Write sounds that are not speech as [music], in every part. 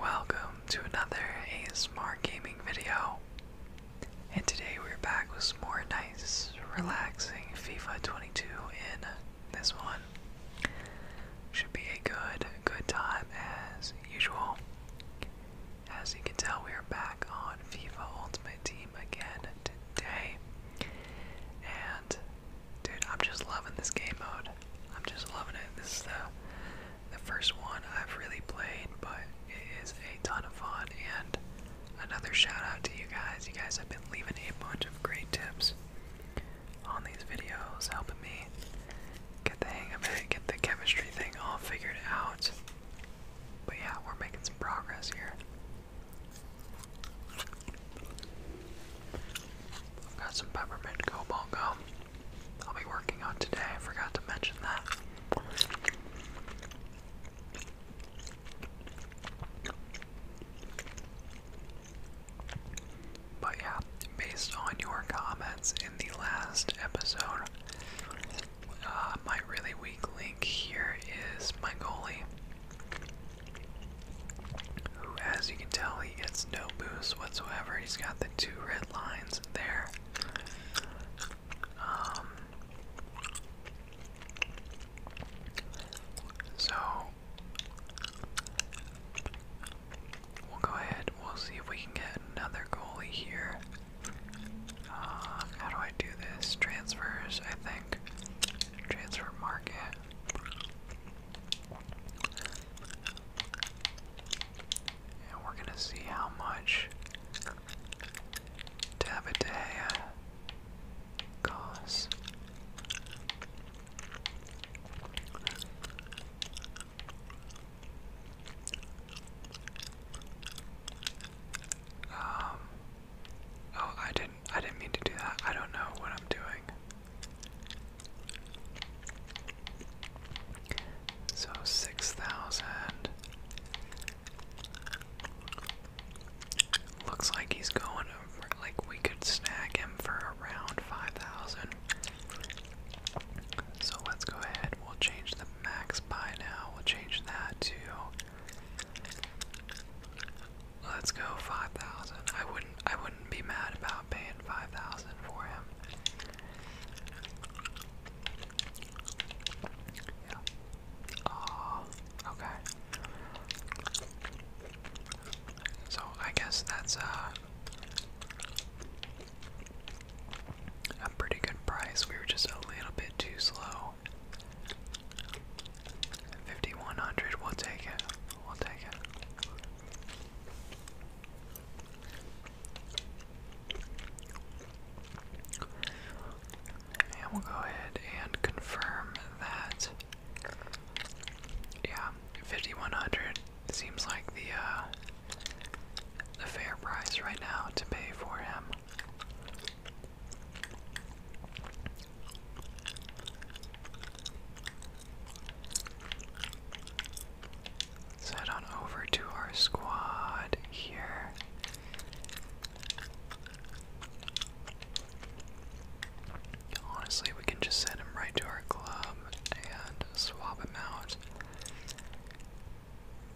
Welcome to another ASMR gaming video. And today we're back with more nice, relaxing FIFA 22 in this one. Should be a good, good time as usual. As you can tell, we are back on FIFA Ultimate Team again today. And dude, I'm just loving this game mode. I'm just loving it. This is the the first one I've really played, but it is a ton of fun. And another shout out to you guys. You guys have been leaving a bunch of great tips on these videos, helping me get the hang of it, get the chemistry thing all figured out. But yeah, we're making some progress here. I've Got some peppermint cobalt gum. I'll be working on today. I forgot to mention that. But yeah, based on your comments in the last episode, uh, my really weak link here is my goalie who, as you can tell, he gets no boost whatsoever. He's got the two red lines there. Um, so we'll go ahead. We'll see if we can get another goalie here. Uh, how do I do this? Transfers, I think. Transfer market. And we're going to see how much Tabatea costs. Um, oh, I didn't, I didn't mean to do that. I don't know what I'm doing. So six thousand. Looks like he's going to. like we could snag him for around 5,000. So let's go ahead, we'll change the max buy now, we'll change that to, let's go 5,000. I wouldn't, I wouldn't be mad about not 5000 for him. okay. So I guess that's uh, a pretty good price. We were just a little bit too slow. 5100, we'll take it. We'll take it. And we'll go ahead and confirm that. Yeah, 5100 seems like the uh, the fair price right now to pay for him let on over to our squad here. Honestly, we can just send him right to our club and swap him out.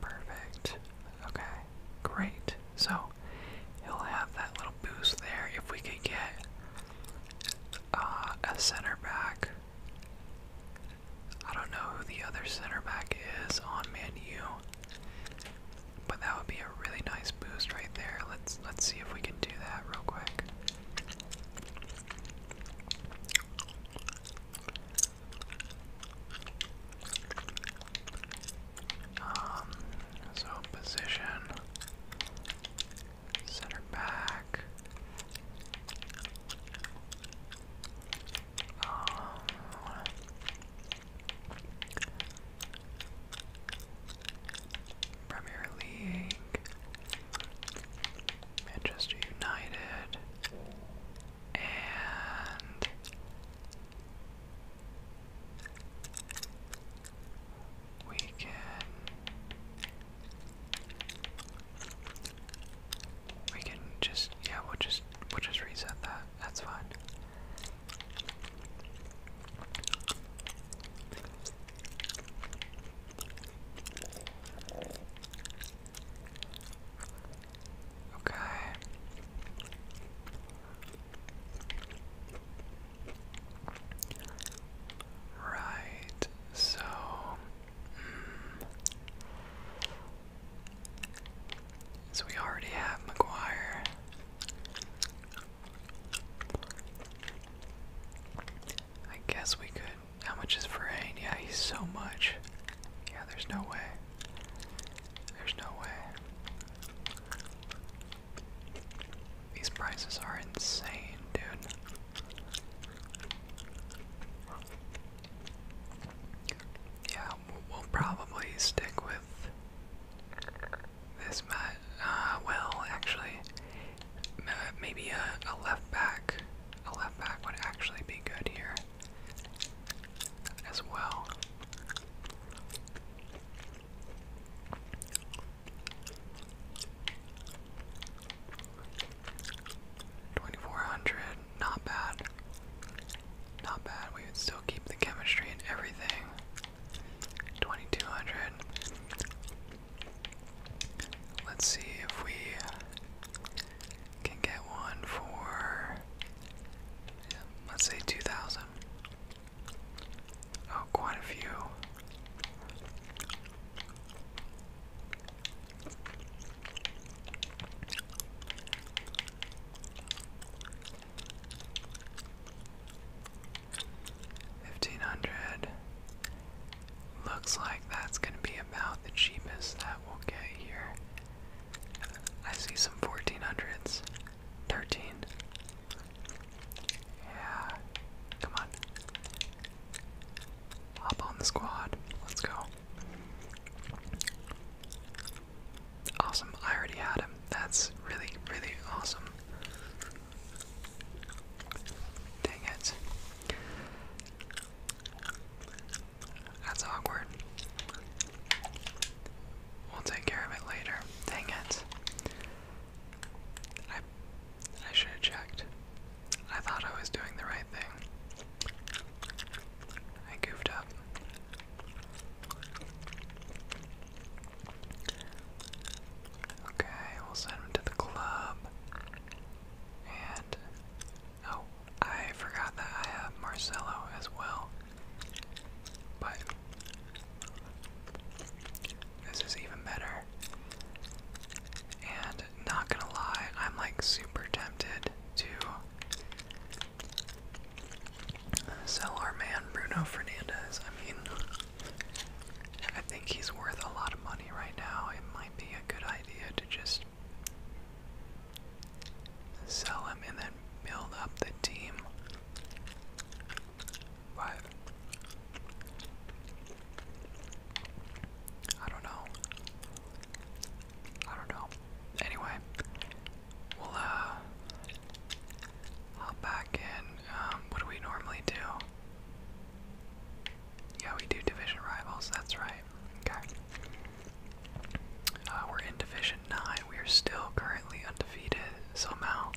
Perfect. Okay, great. So he'll have that little boost there if we could get uh, a center back. I don't know who the other center back is on Man U, but that would be a really nice boost right there. Let's let's see if we can do that real quick. Um, so position Center back. Um, Premier League. Manchester United. And we can we can just yeah, we'll just we'll just reset that. That's fine. Okay. Right so hmm. so we already have McGuire. I guess we could. How much is Ferrain? Yeah, he's so much. Yeah, there's no way. There's no way. These prices are insane, dude. Yeah, we'll probably stick with this match. Uh, well, actually, maybe a, a left back. A left back would actually be good here as well. 2400, not bad. Not bad, we would still keep the chemistry and everything. 2200. Let's see if we can get one for, let's say 2000. Oh, quite a few. Fifteen hundred. Looks like that's going to be about the cheapest that we'll get here. I see some 1400s. 13. Yeah. Come on. Hop on the squad. Let's go. Awesome. I already had him. That's really, really awesome. Dang it. That's awkward. We'll take care of it later. Dang it. I should have checked. I thought I was doing the right thing. I goofed up. Okay, we'll send him to the club. And oh, I forgot that I have Marcelo as well. But this is even better. And not gonna lie, I'm like super tempted to sell our man Bruno Fernandez. I mean, I think he's worth a lot of money right now. It might be a good idea to just sell him and then build up the team. Five. I don't know. I don't know. Anyway, we'll uh hop back in. Um, what do we normally do? Yeah, we do division rivals. That's right. Okay. Uh, we're in Division 9. We are still currently undefeated somehow.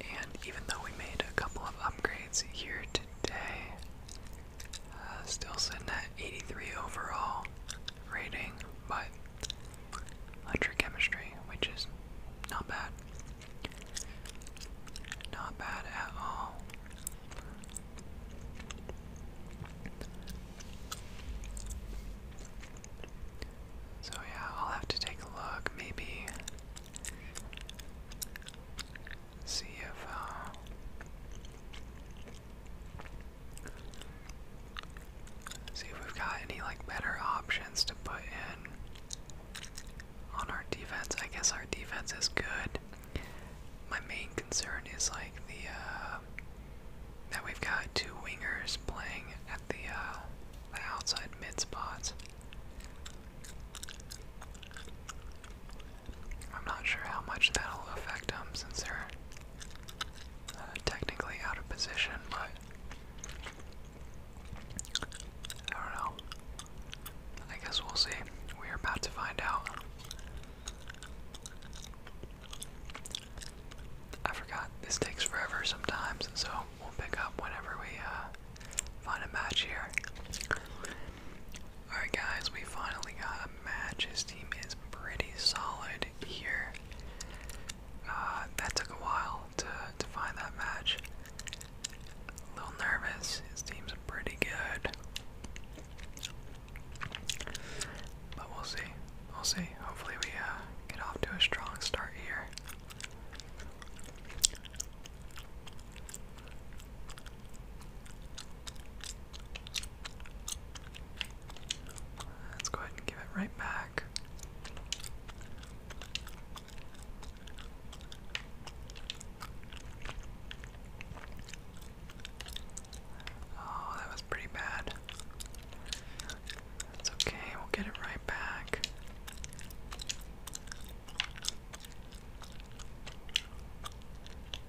And even though we made a couple of upgrades here today, uh, still sitting at 83 overall rating, but 100 chemistry, which is not bad. Not bad at all. So yeah, I'll have to take a look, maybe see if uh, see if we've got any like better options to put in on our defense. I guess our defense is good. My main concern is like the uh that we've got two wingers playing at uh, the, outside mid spots. I'm not sure how much that'll affect them since they're uh, technically out of position, but I don't know. I guess we'll see. We're about to find out. I forgot this takes forever sometimes, so we'll pick up whenever we uh, find a match here. Alright, guys, we finally got a match. His team is pretty solid here. Uh, that took a while to, to find that match. A little nervous. His team's pretty good. But we'll see. We'll see. Hopefully we uh, Get off to a strong start here. Let's go ahead and give it right back. Oh, that was pretty bad. It's okay, we'll get it right back.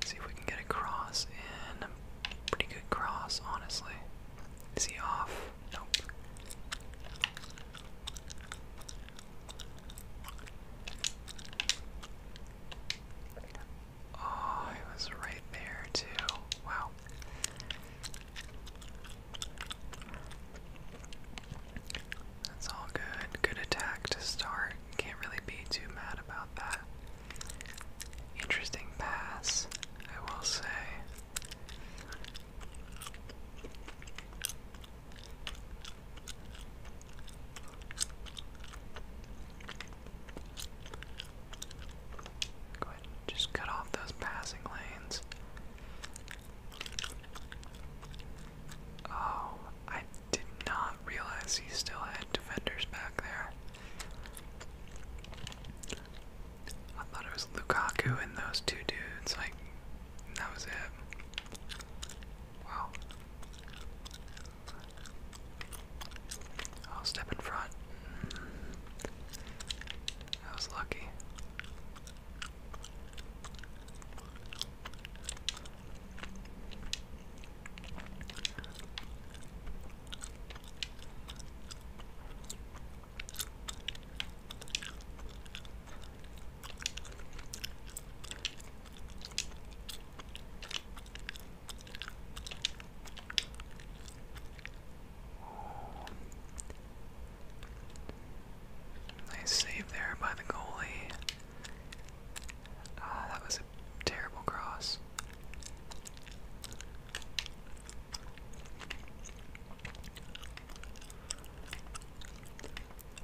See if we can get a cross in. pretty good cross, honestly. Is off? Nope. Oh, he was right there, too. Wow. That's all good. Good attack to start. Can't really be too mad about that. Interesting pass, I will say. Go ahead just cut off those passing lanes. Oh, I did not realize he still had defenders back there. I thought it was Lukaku and those two dudes, like, that was it. Wow. I'll step in front. Mm. I was lucky. Nice save there by the goalie. Ah, that was a terrible cross.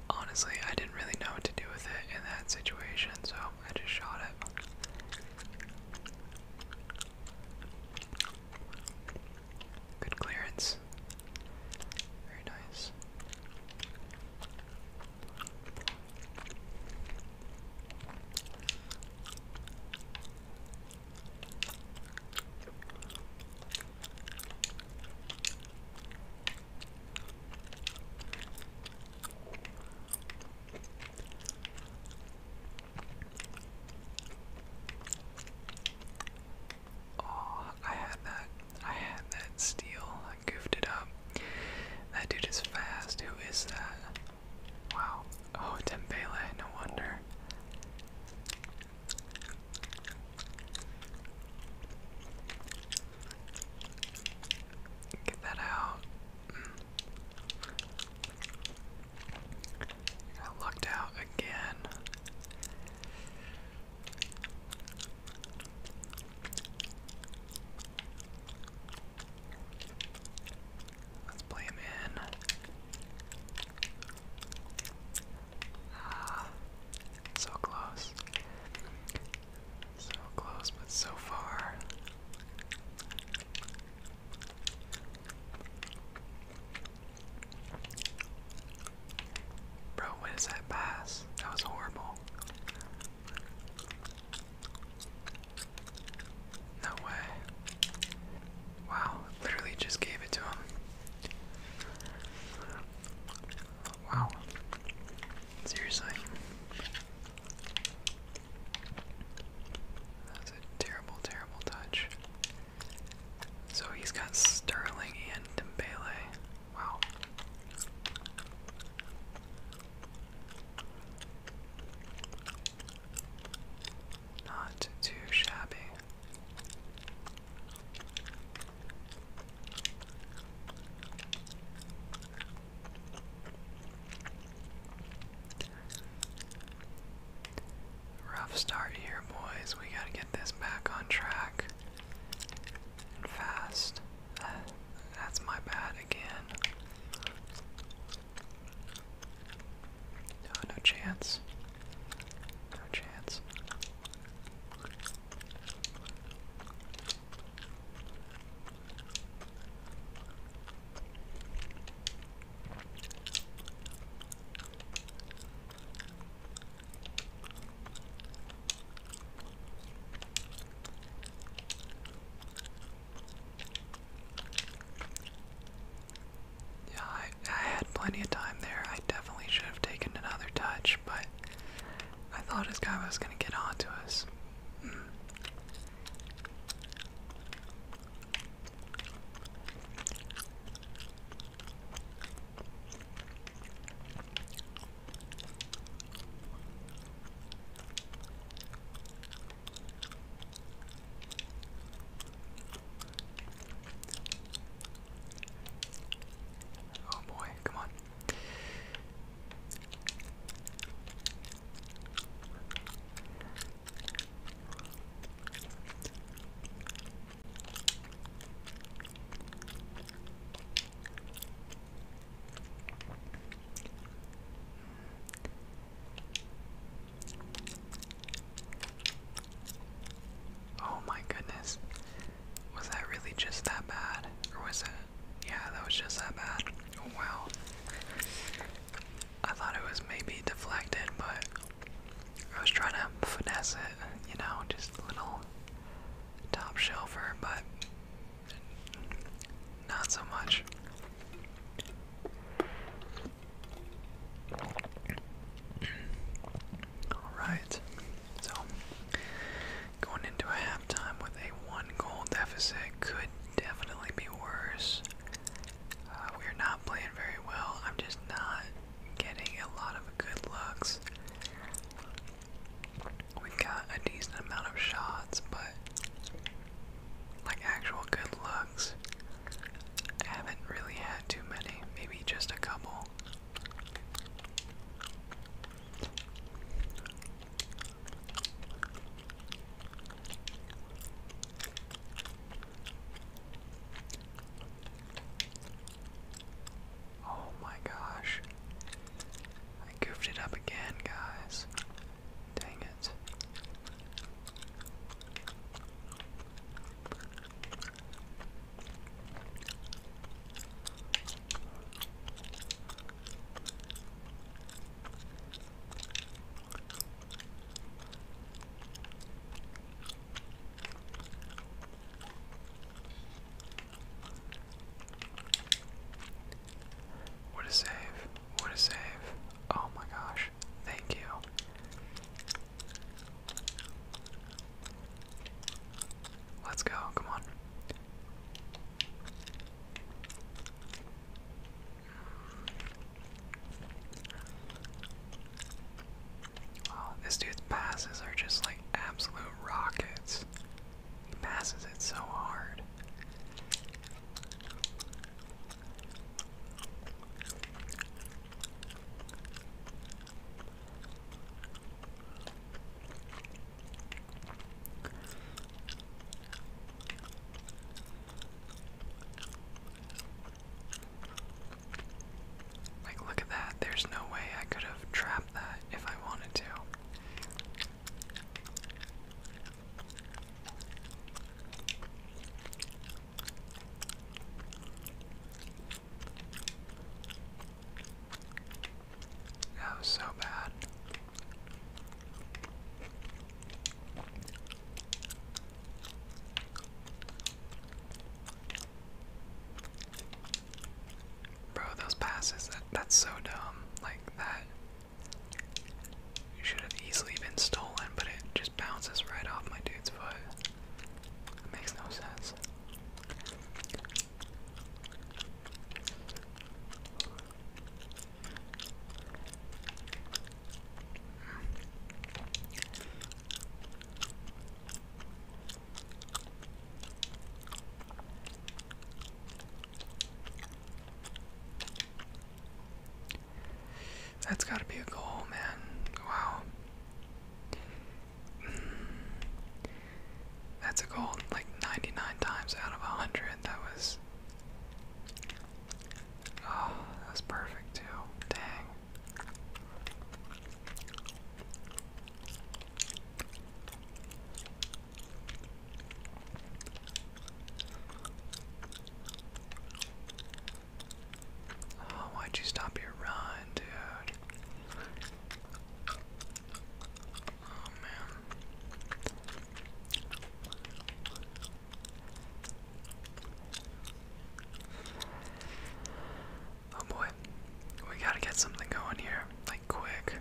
Honestly, I didn't really know what to do with it in that situation, so I just shot it. Good clearance. Very nice. Oh, I had that. I had that steal. I goofed it up. That dude is fast. Who is that? Wow. Oh, Dembele. No wonder. Get that out. I lucked out again. Let's play him in. Ah, so close. So close, but so far. Bro, when is that pass? That was horrible. No way. Wow, literally just gave it to him. Wow. Seriously. That's a terrible, terrible touch. So he's got Sterling and Dembele. Wow. Not too shabby. Rough start here, boys. We gotta get this back on track. fast. [sighs] That's my bad again. no chance. No chance. Yeah, I, had plenty of time there. I definitely should have taken another touch, but I thought this guy was going to get onto us. Hmm. Oh boy, come on. Oh my goodness. Was that really just that bad? Or was it? Yeah, that was just that bad. Oh, wow. I thought it was maybe deflected, but I was trying to finesse it, you know, just a little top shelfer, but not so much. Alright, so going into a halftime with a one goal deficit could definitely be worse. Uh, we're not playing very well. I'm just not getting a lot of good looks. We've got a decent amount of shots, but like actual good looks, I haven't really had too many. Maybe just a couple. Oh my gosh. I goofed it up again, guys. Dang it. What a save. What a save. Oh my gosh. Thank you. Let's go. Come on. Oh, this dude's passes are just like absolute rockets. He passes it so hard. Like, look at that. There's no way I could have trapped that if I wanted to. That was so bad. Bro, those passes, that's so dumb. Like, that should have easily been stolen, but it just bounces right off my dude's foot. makes no sense. That's got to be a goal, man. Wow. That's a goal like 99 times out of 100. That was Oh, that's perfect too. Dang. Oh, why'd you stop your run, dude? Oh man. Oh boy, we gotta get something going here, like quick.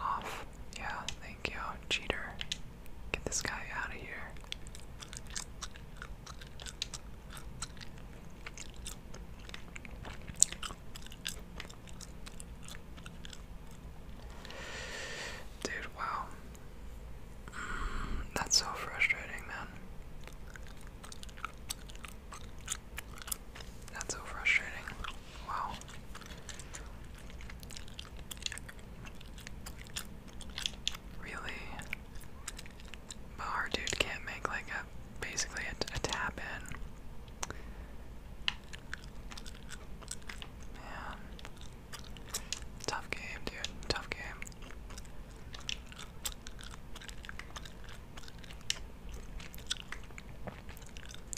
Off. Yeah, thank you, cheater. Get this guy out of here. Dude, wow. Mm, that's so frustrating, man. That's so frustrating. Wow. Really? But our dude can't make like a basically a, tap in. Man. Tough game, dude. Tough game.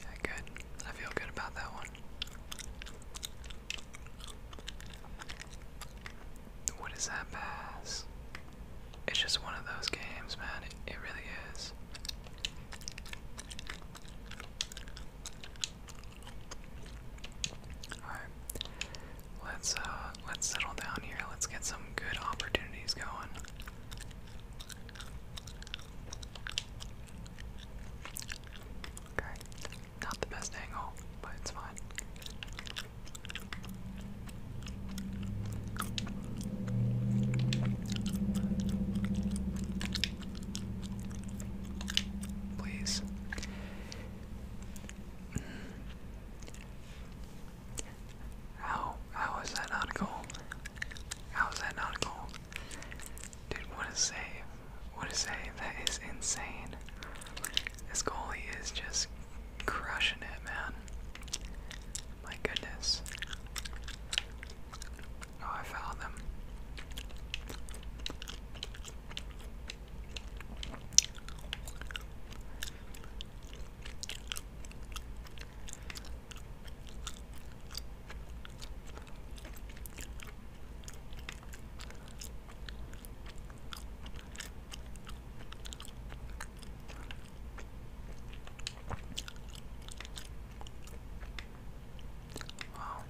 Yeah, good. I feel good about that one. What is that pass? It's just one of those games, man. It, really is. Alright. Let's uh let's settle down here. Let's get some good opportunities going. Okay. Not the best angle, but it's fine. Please. How how is that not a goal? How is that not a goal? Dude, what a save. What a save. That is insane. This goalie is just crushing it, man. My goodness. Oh, I found them. Well,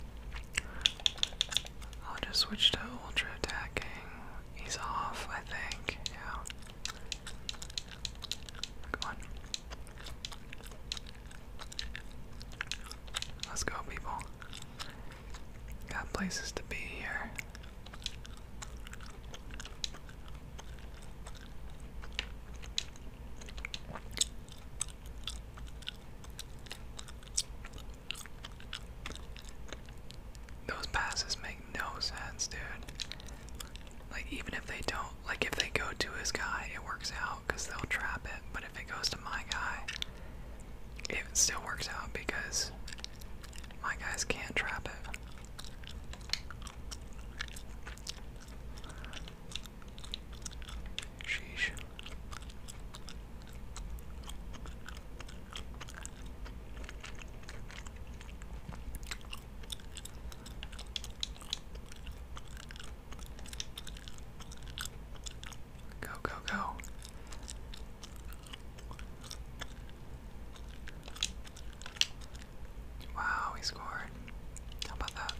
I'll just switch to ultra attacking. He's off, I think. Yeah. Come on. Let's go, people. Got places to be here. Those passes make no sense, dude. Like, even if they don't, like, if they go to his guy, it works out because they'll trap it. But if it goes to my guy, it still works out because my guys can't trap it. Sheesh. Go, go, go. Wow, he scored. How about that?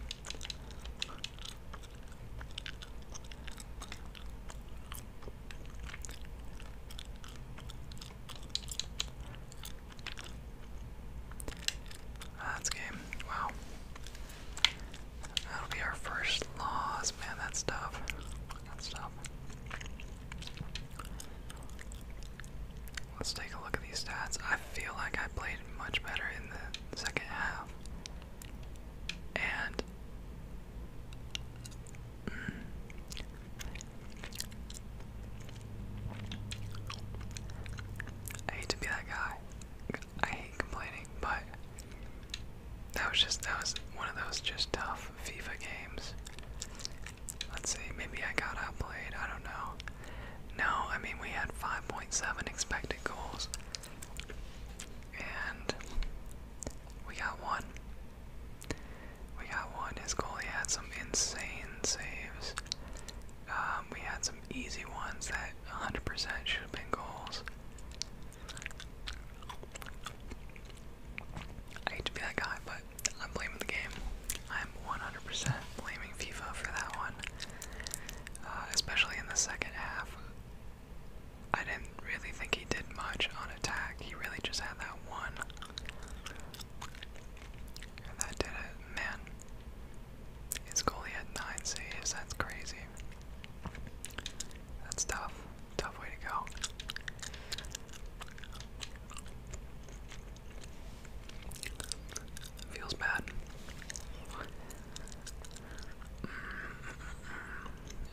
That's game. Wow. That'll be our first loss. Man, that's tough. That's tough. Let's take a look at these stats. I feel like I played much better in the second half. And mm. I hate to be that guy. I hate complaining, but that was just that was one of those just tough FIFA games Let's see, maybe I got outplayed, I don't know. No, I mean, we had 5.7 expected goals. And we got one. We got one. His goalie had some insane saves. Um, we had some easy ones that 100% should have been goals. I hate to be that guy, but I'm blaming the game. I'm 100% blaming FIFA for that one, uh, especially in the second half. I didn't really think he did much on attack. He really just had that one, and that did it. Man, his goalie had nine saves. That's crazy. That's tough. Tough way to go. Feels bad.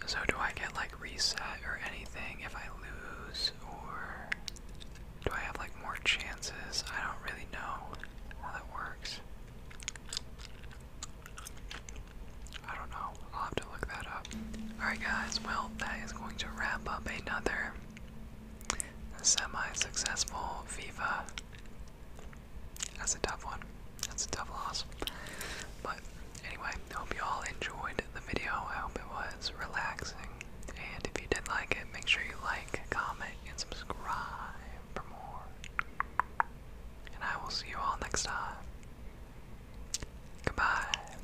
So do I get like reset or anything if I lose or do I have like more chances? I don't really know how that works. I don't know. I'll have to look that up. Alright guys, well that is going to wrap up another semi-successful Viva. That's a tough one. That's a tough loss. But anyway, hope you all enjoyed the video. I hope it was relaxing. And if you did like it, make sure you like, comment, and subscribe for more. And I will see you all next time. Goodbye.